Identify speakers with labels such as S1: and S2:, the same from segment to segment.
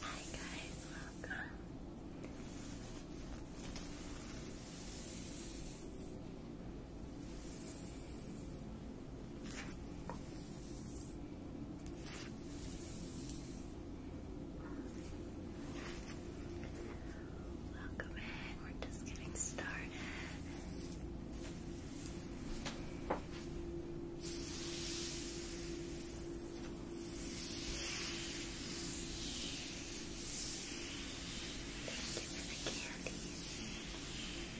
S1: Hi guys, welcome. Welcome in, we're just getting started. Thank you for the candy.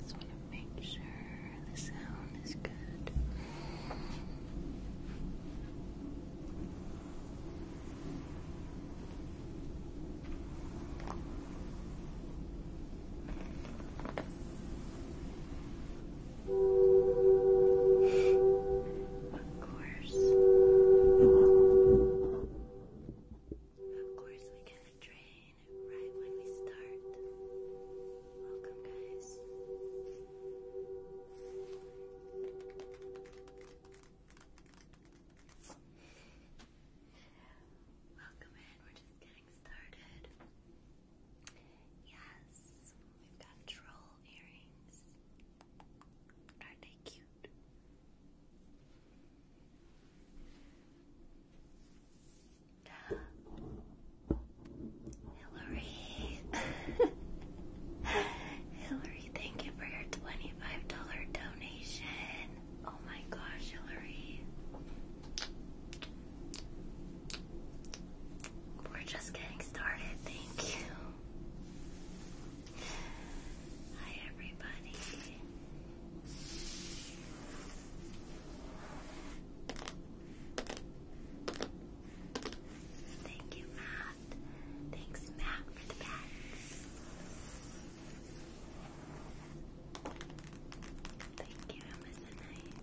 S1: Just want make sure the sound is good. Of course. Of course, we get a right when we start. Welcome, guys. Welcome in, we're just getting started. Yes, we've got Troll are they cute? Hillary, Hillary, thank you for your twenty-five dollar donation. Oh my gosh, Hillary, we're just getting started. Thank you. Hi, everybody. Thank you, Matt. Thanks, Matt, for the pets. Thank you, Amazonite.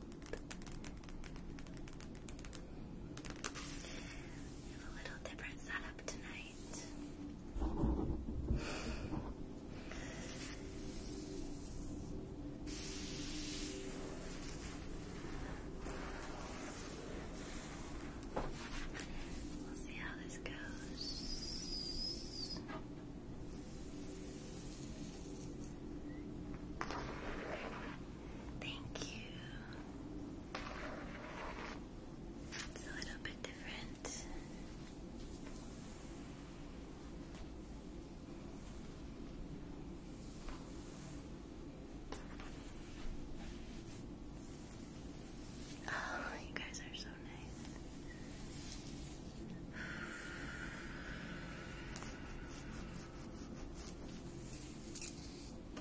S1: We a little different setup tonight. We'll see how this goes. Thank you. It's a little bit different. Oh, you guys are so nice.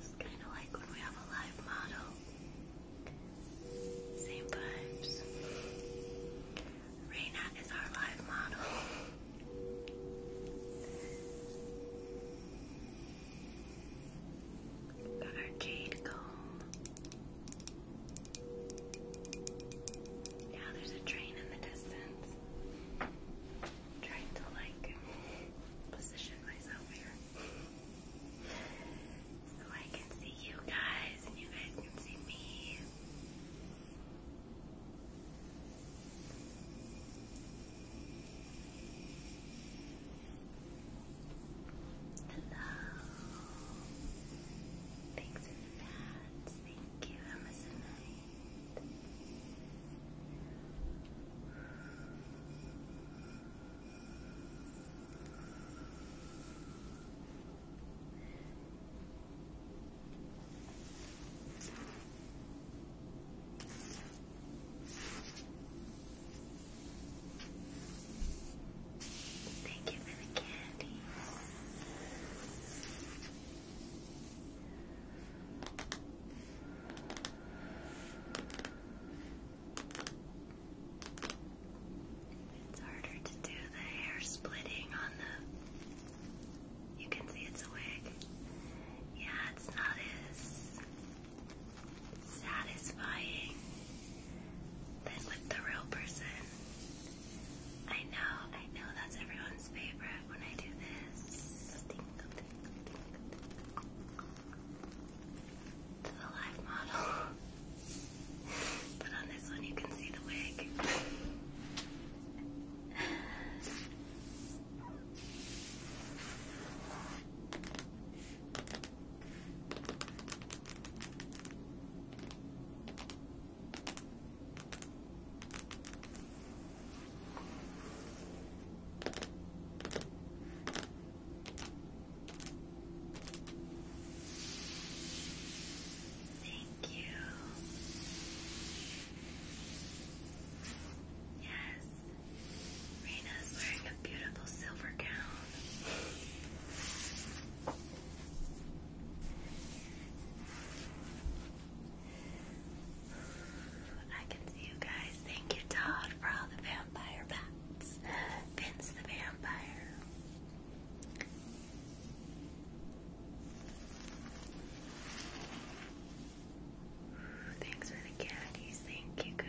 S1: It's kind of like when we have a live model. Same vibes. Reina is our live model. Got our jade comb. Now there's a train in the distance trying to like position myself here so I can see you guys and you guys can see me. Hello. Thanks for the Thank you, Amazonite. Thank you for the candy. It's harder to do the hair splitting on the. You can see it's a wig. Yeah, it's not as satisfying than with the real person. I know, I know that's everyone's favorite when I do this. To the live model. but on this one you can see the wig. Thank you. Yes, Rena's wearing a beautiful silver gown. I can see you guys. Thank you, Todd, for all the vampire bats. Vince the vampire. Thanks for the caddies. Thank you, guys.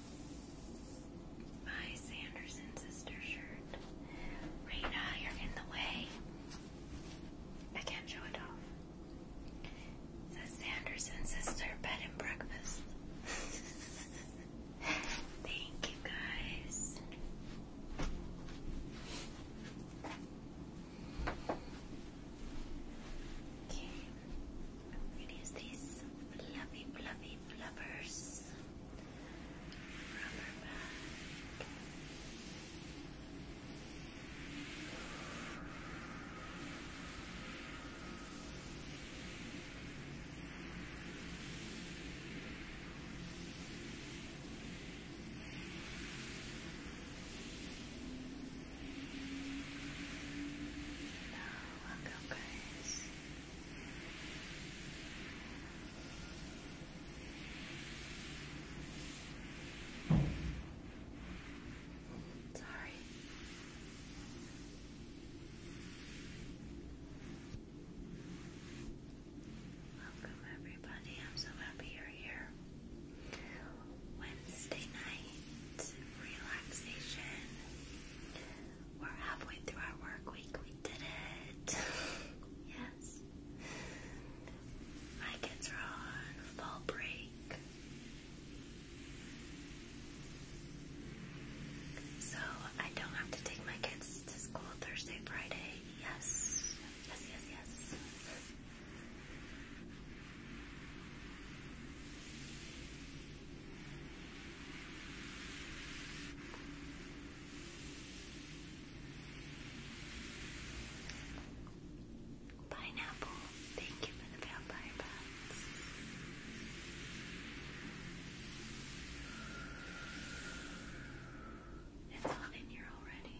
S1: My Sanderson sister shirt. Raina, you're in the way. I can show it off. It Sanderson sister bed and breakfast. Thank you guys. Okay, I'm gonna use lovers. Rubber band. Now, welcome guys. Sorry. Welcome, everybody. I'm so happy you're here. Wednesday night relaxation. We're halfway through our work week. We did it. yes. My kids are on fall break. So I don't have to take my kids to school Thursday, Friday. Yes. Yes, yes, yes. Pineapple, thank you for the vampire bats. It's all in here already.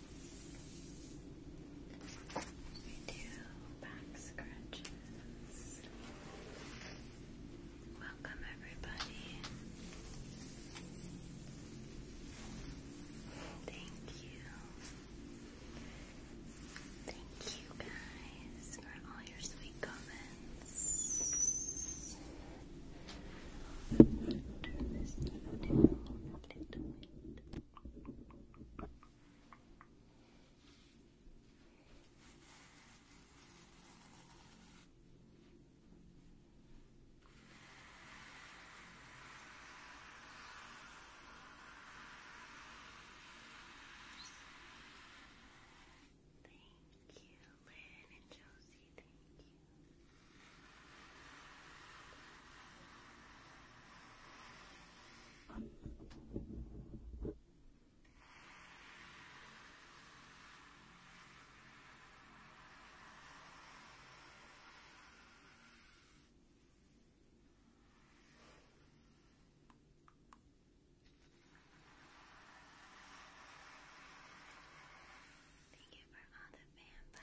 S1: we do back scratches. Welcome, everybody. Thank you. Thank you guys for all your sweet comments. Thank you, Lynn and Josie. Thank you. Thank you for all the vampire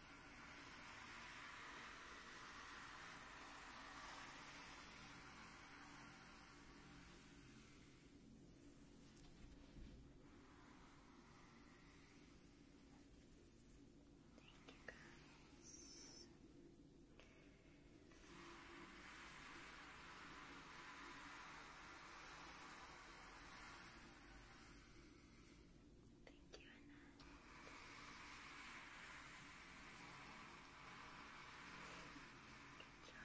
S1: Thank you guys. Thank Thank you, Annette. Good job. Good.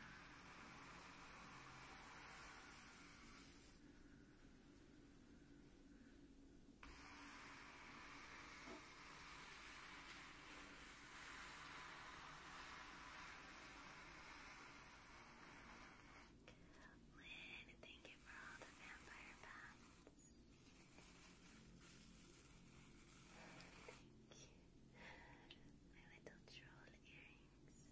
S1: Lynn, thank you for all the vampire bats. Thank you. My little troll earrings.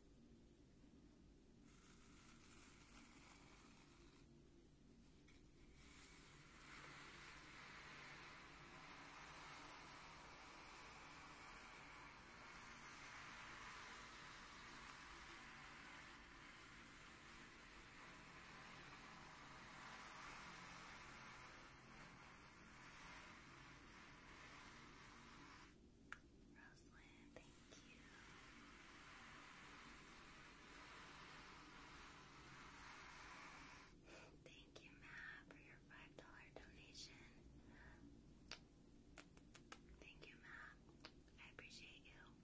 S1: Rosalyn, thank you. Thank you, Matt, for your five dollar donation. Thank you, Matt. I appreciate you.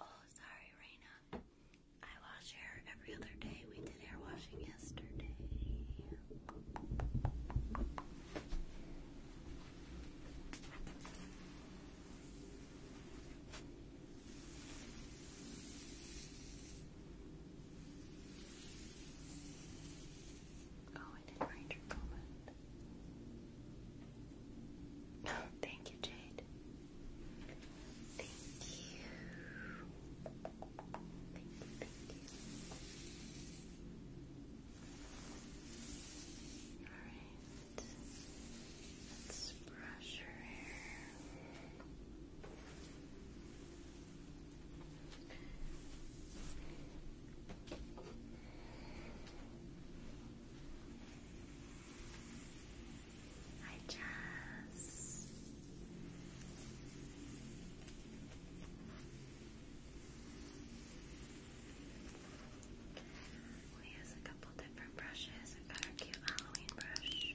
S1: Oh, sorry, Raina. I wash hair every other day. We did hair washing yesterday. Oh, I didn't read Thank you, Jade. Thank you. Thank you, Alright. Let's brush your hair. Hi, Jess. We use a couple different brushes. our cute Halloween brush.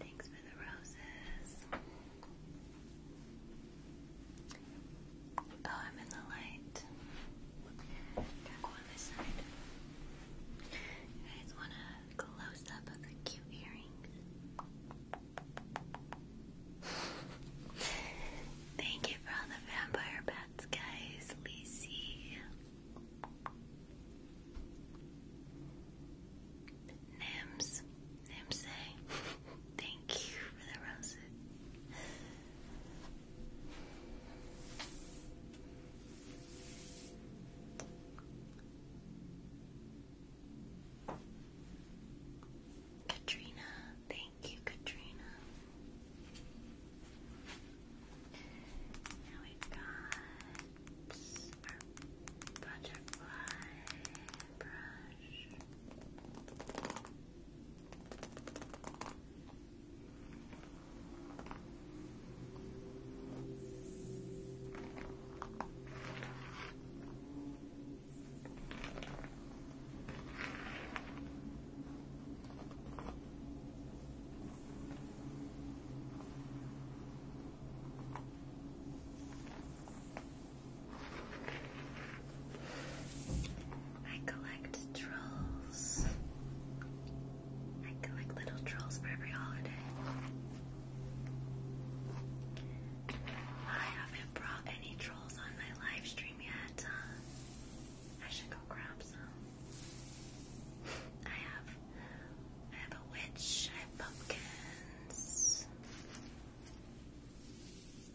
S1: Thanks for the roses. Oh, I'm in the light. Gotta go on this side. You guys wanna close up of the cute earrings. Thank you for all the vampire bats, guys. Lizzie, Nims, Nimse. Thank you for the roses. Katrina, thank you, Katrina. Now we've got our butterfly brush. I collect trolls. I collect little trolls for every holiday. I haven't brought any trolls on my live yet. Uh, I should go grab some. I have I have a witch, I have pumpkins,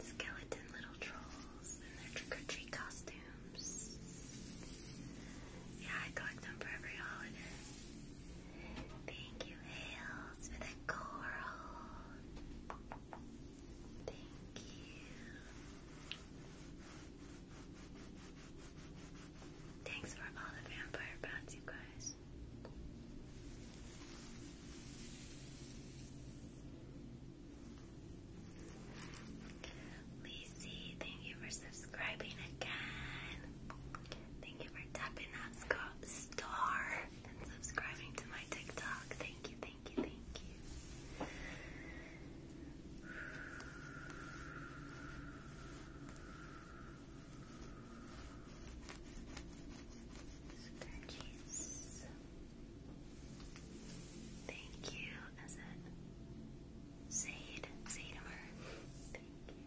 S1: skeleton little trolls in their trick-or-treat costumes. Yeah, I collect them for every holiday. Thank you, Hales, for the coral. Thank you. Thanks for all the vampire bounce, you guys. Lacey, thank you for subscribing again. Thank you for tapping that star and subscribing to my TikTok. Thank you, thank you, thank you. Sturgis. Thank you. Is it Zaid? Thank you.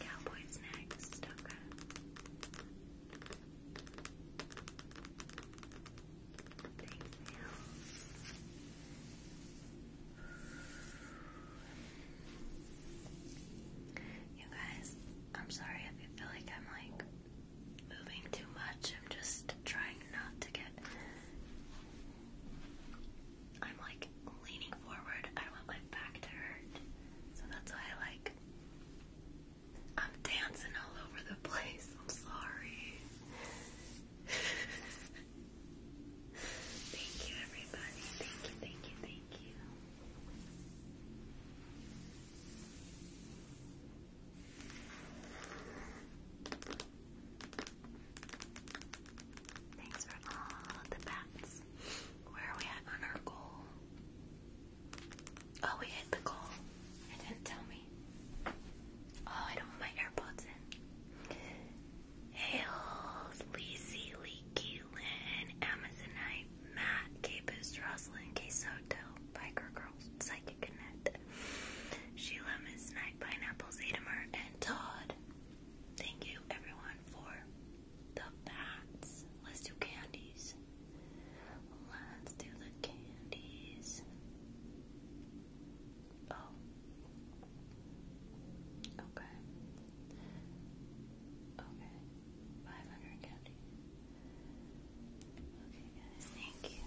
S1: Cowboys next, okay. Thank you. You guys, I'm sorry if you feel like I'm like moving too much. I'm just trying not to get. I'm like leaning forward. I don't want my back to hurt. So that's why I like. I'm dancing all over the place. I'm sorry. thank you, everybody. Thank you, thank you, thank you. Thanks for all the bats. Where are we at on our goal? Oh, we hit the goal. It didn't tell me. Oh, I don't want my AirPods in. Hales, Lisi, Leaky, Lynn, Amazonite, Matt, Capus, Rosalind, Quesoto, Biker Girls, Psychic Annette, Sheila, Miss Night, Pineapple, Zetamer, and Todd. Thank you, everyone, for the bats. Let's do candies. Let's do the candies. Oh. Okay. Okay. 500 candy. Okay, guys, thank you.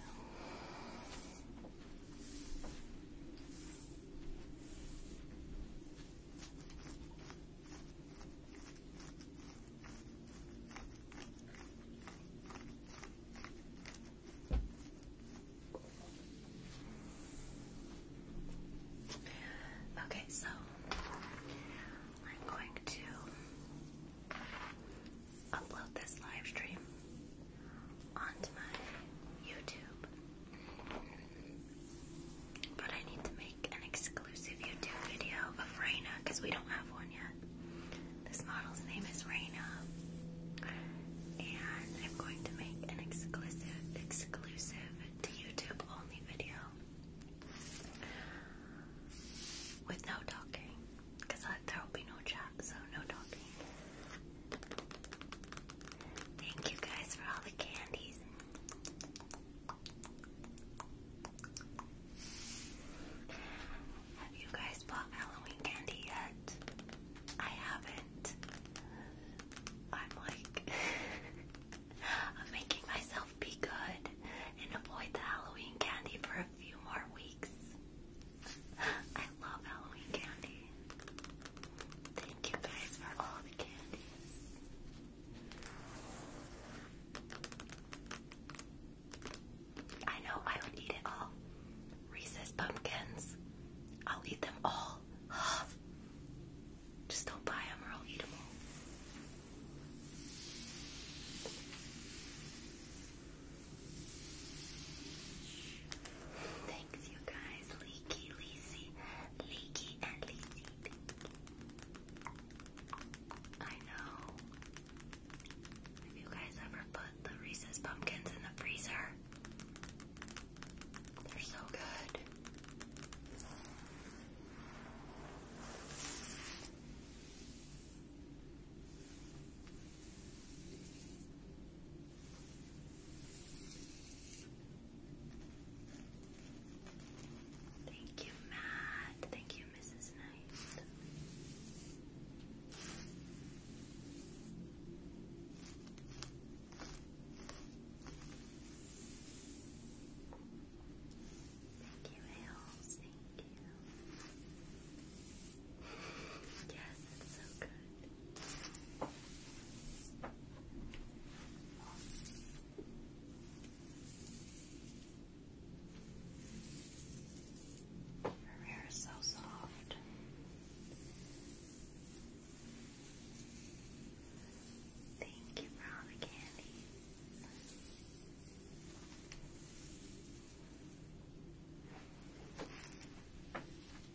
S1: Okay, so I'm going to upload this live stream onto my YouTube. But I need to make an exclusive YouTube video of Raina because we don't have one yet. This model's name is Raina. And I'm going to make an exclusive, exclusive to YouTube only video with no talking because uh, there will be no chat, so no talking. Thank you guys for all the candies. Have you guys bought Halloween candy yet? I haven't. I'm like, I'm making myself be good and avoid the Halloween candy for a few more weeks. I love Halloween candy. Thank you guys for all the candies. I know I would eat it all. Reese's pumpkins. I'll eat them all. Just don't buy them or I'll eat them all. Thanks, you guys. Leaky, Leesy, Leaky, and Leesy. I know. Have you guys ever put the Reese's pumpkins in the freezer? They're so good. Thank you, Matt. Thank you, Mrs. Nice. Thank you, Hales. Thank you. Yes, so good. Her hair is so soft. Thank you for all the candy.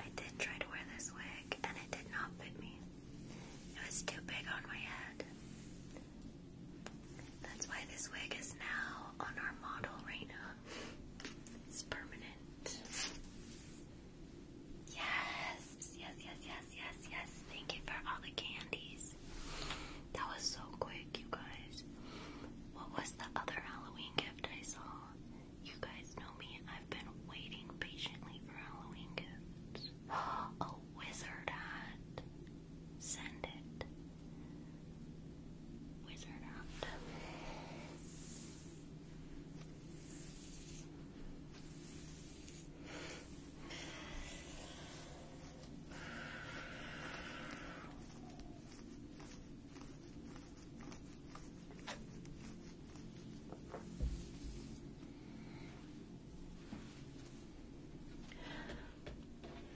S1: I did try to wear this wig and it did not fit me. It was too big on my head. That's why this wig is now on our model right It's permanent. Yes! Yes, yes, yes, yes, yes. Thank you for all the candies. That was so quick, you guys. What was the other Halloween gift I saw? You guys know me. I've been waiting patiently for Halloween gifts. A wizard hat. Send it. Wizard hat.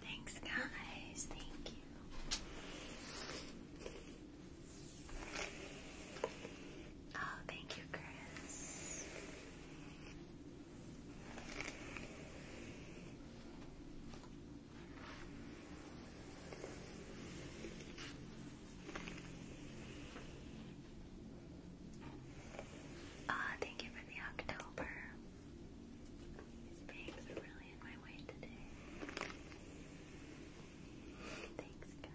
S1: Thanks, guys. Thank you. Oh, thank you, Chris. Ah, thank you for the October. These bangs are really in my way today. Thanks, guys.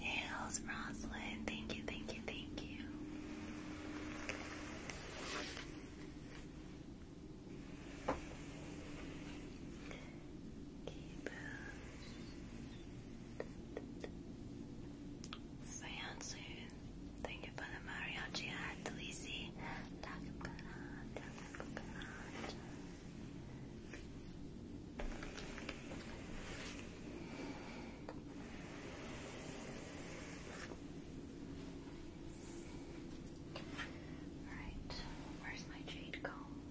S1: Nails, Roslyn. Thank you, thank you, thank you. Keep it fancy. Thank you for the mariachi hat, Lizzie. La cucaracha, la cucaracha. Alright, where's my jade comb?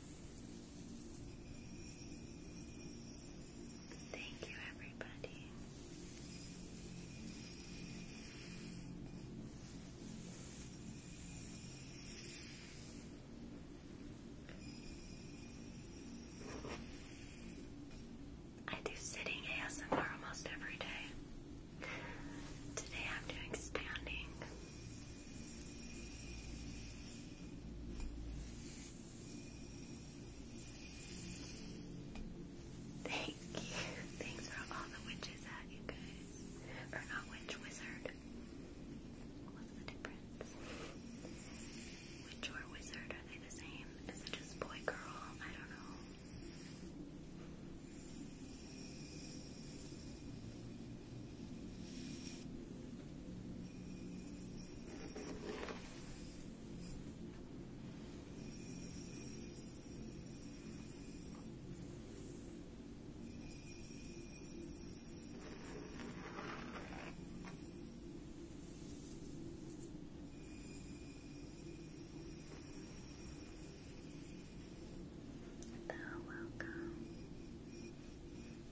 S1: Thank you, everybody. I do sitting ASMR almost every day. Today I'm doing standing. Thank you. Thanks for all the witches you guys. Or not witch, wizard. What's the difference? Witch or wizard, are they the same? Is it just boy, girl? I don't know. Thou welcome.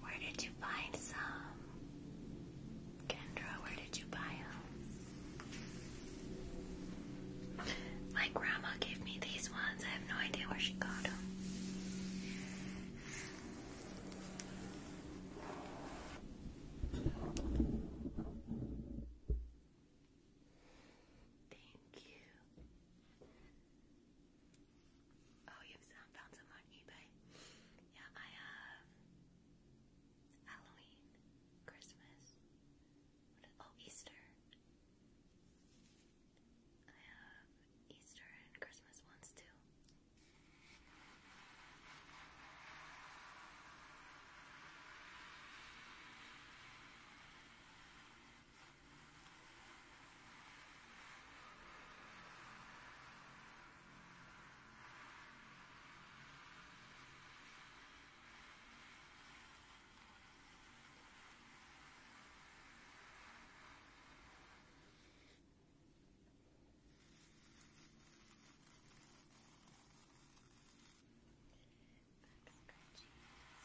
S1: Where did you find some? Kendra, where did you buy them? My grandma gave me these ones. I have no idea where she got them. Thank you. Oh, you found some on eBay? Yeah, I have um, Halloween, Christmas, oh, Easter. I have Easter and Christmas ones too. Back scratching. Back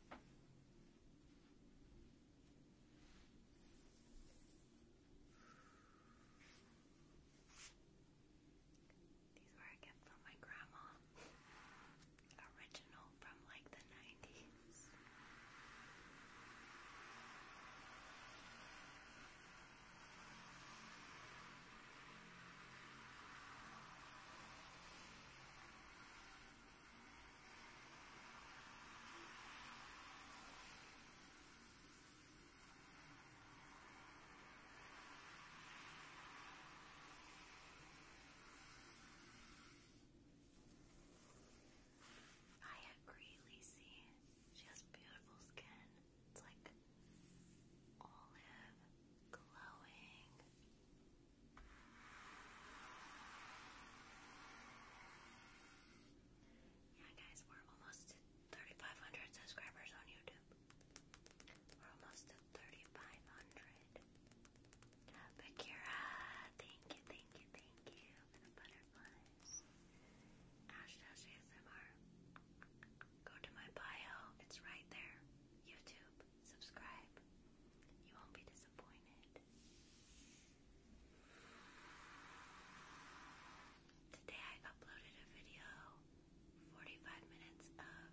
S1: These were a gift from my grandma. Original from like the 90s. I agree, Lacey. She has beautiful skin. It's like olive, glowing. Yeah, guys, we're almost to 3,500 subscribers on YouTube. We're almost to 3,500. But thank you, thank you, thank you butterflies. Ash ASMR. Go to my bio, it's right there. YouTube subscribe. You won't be disappointed. Today I uploaded a video, 45 minutes of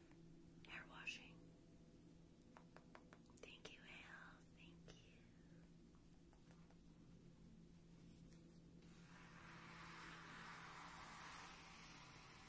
S1: hair washing. Thank you, Al. Thank you.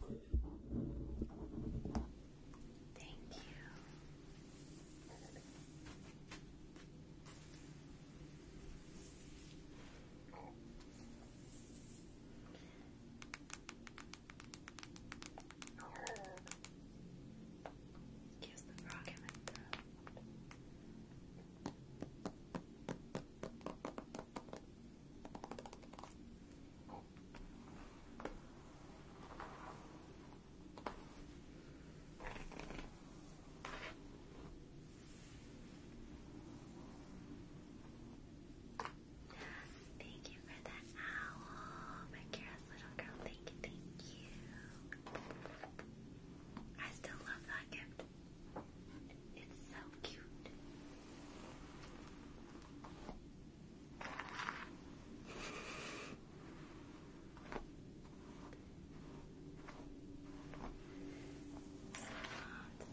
S1: Thank you. Kiss the frog Thank you for that owl, my careless little girl. Thank you, thank you. I still love that gift. It's so cute.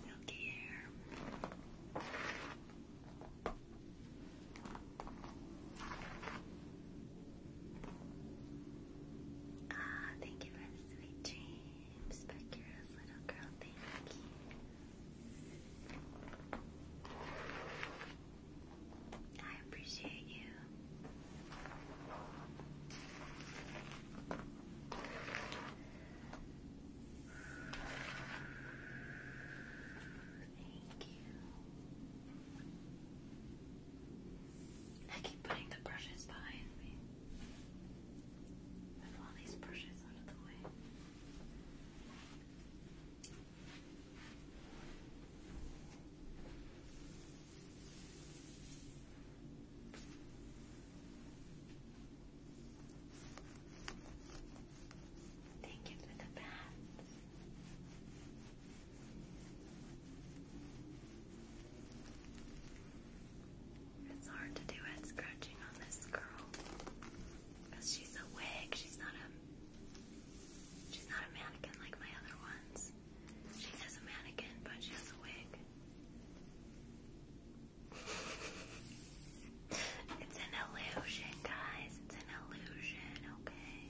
S1: Silky hair. Ah, thank you for the names, but you're a little girl, thank you. I appreciate you. Thank you. I keep putting the brushes behind me. Move all these brushes out of the way. Thank you for the bats. It's hard to do head scratching on this girl. Because she's a wig, she's not a she's not a mannequin like my other ones. She is a mannequin, but she has a wig. it's an illusion, guys. It's an illusion, okay?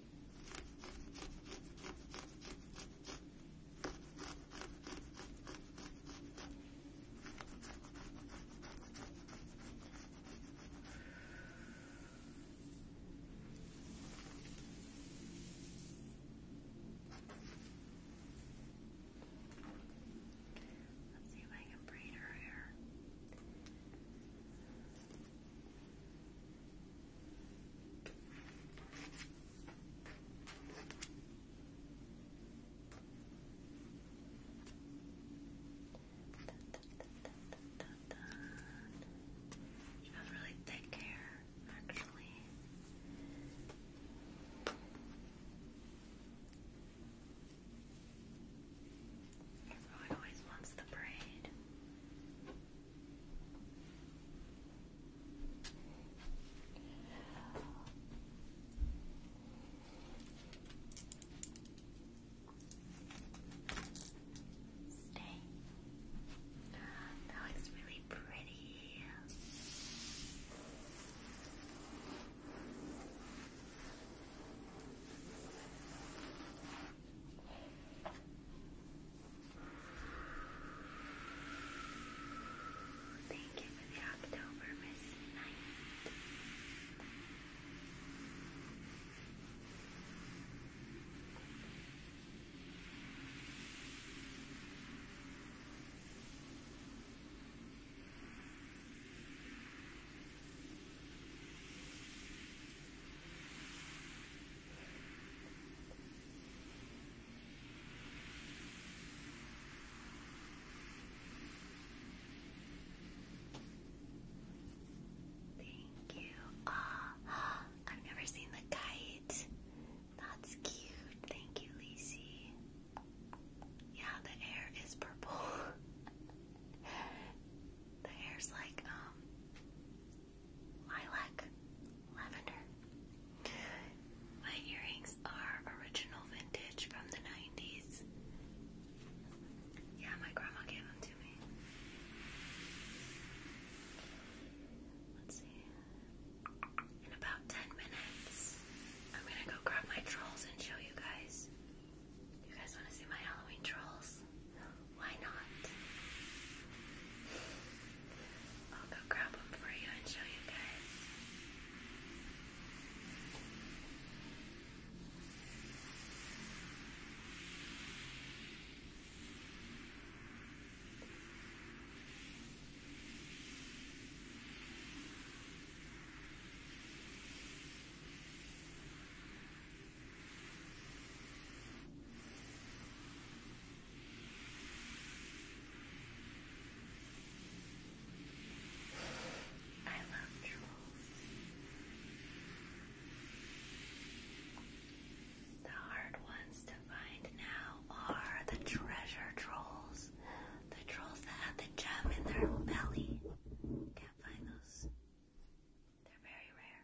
S1: Let's see if I can braid her hair. You have really thick hair, actually. Everyone always wants the braid. Stay. That looks really pretty. Thank you for the October, Miss Thank you. Ah, I've never seen the kite. That's cute. Thank you, Lisi. Yeah, the hair is purple. the hair's like um lilac, lavender. My earrings are original vintage from the 90s. Yeah, my grandma gave them to me. Let's see. In about 10 minutes, I'm gonna go grab my trolls and show you guys. You guys wanna see my Halloween trolls? Why not? I'll go grab them for you and show you guys. I love trolls. The hard ones to find now are the treasure trolls. The trolls that have the gem in their belly. Can't find those. They're very rare.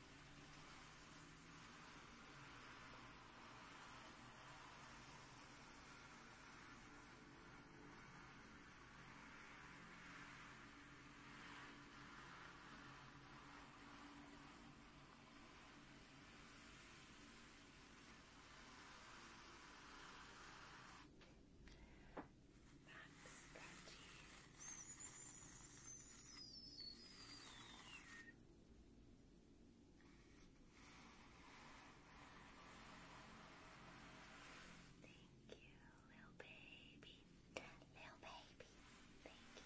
S1: Max Patty. Thank you, little baby. Little baby. Thank you. Thank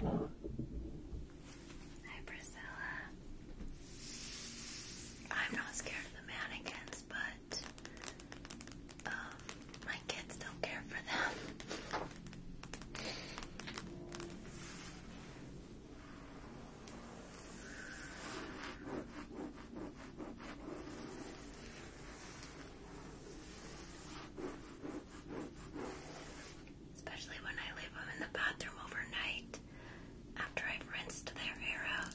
S1: I Hi, Priscilla. I'm not scared of the mannequins, but my kids don't care for them. Especially when I leave them in the bathroom overnight after I've rinsed their hair out.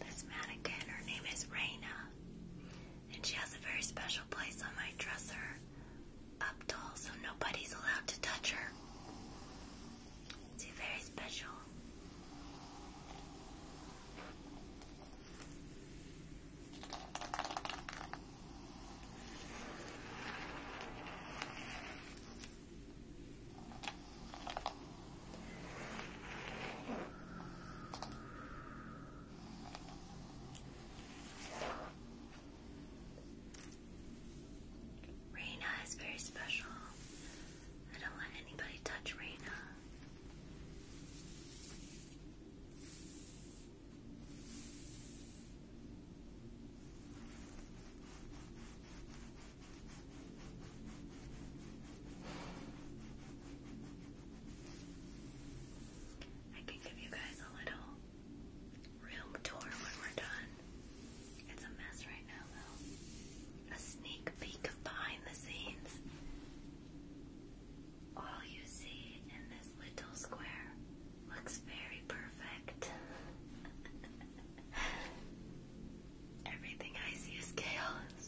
S1: This mannequin, her name is Raina, and she has a very special place on my dresser up tall so nobody's allowed to touch her. It's a very special. Reina is very special. I don't want anybody touch Reina. I can give you guys a little room tour when we're done. It's a mess right now, though. A sneak peek behind the scenes. All you see in this little square looks very perfect. Everything I see is chaos.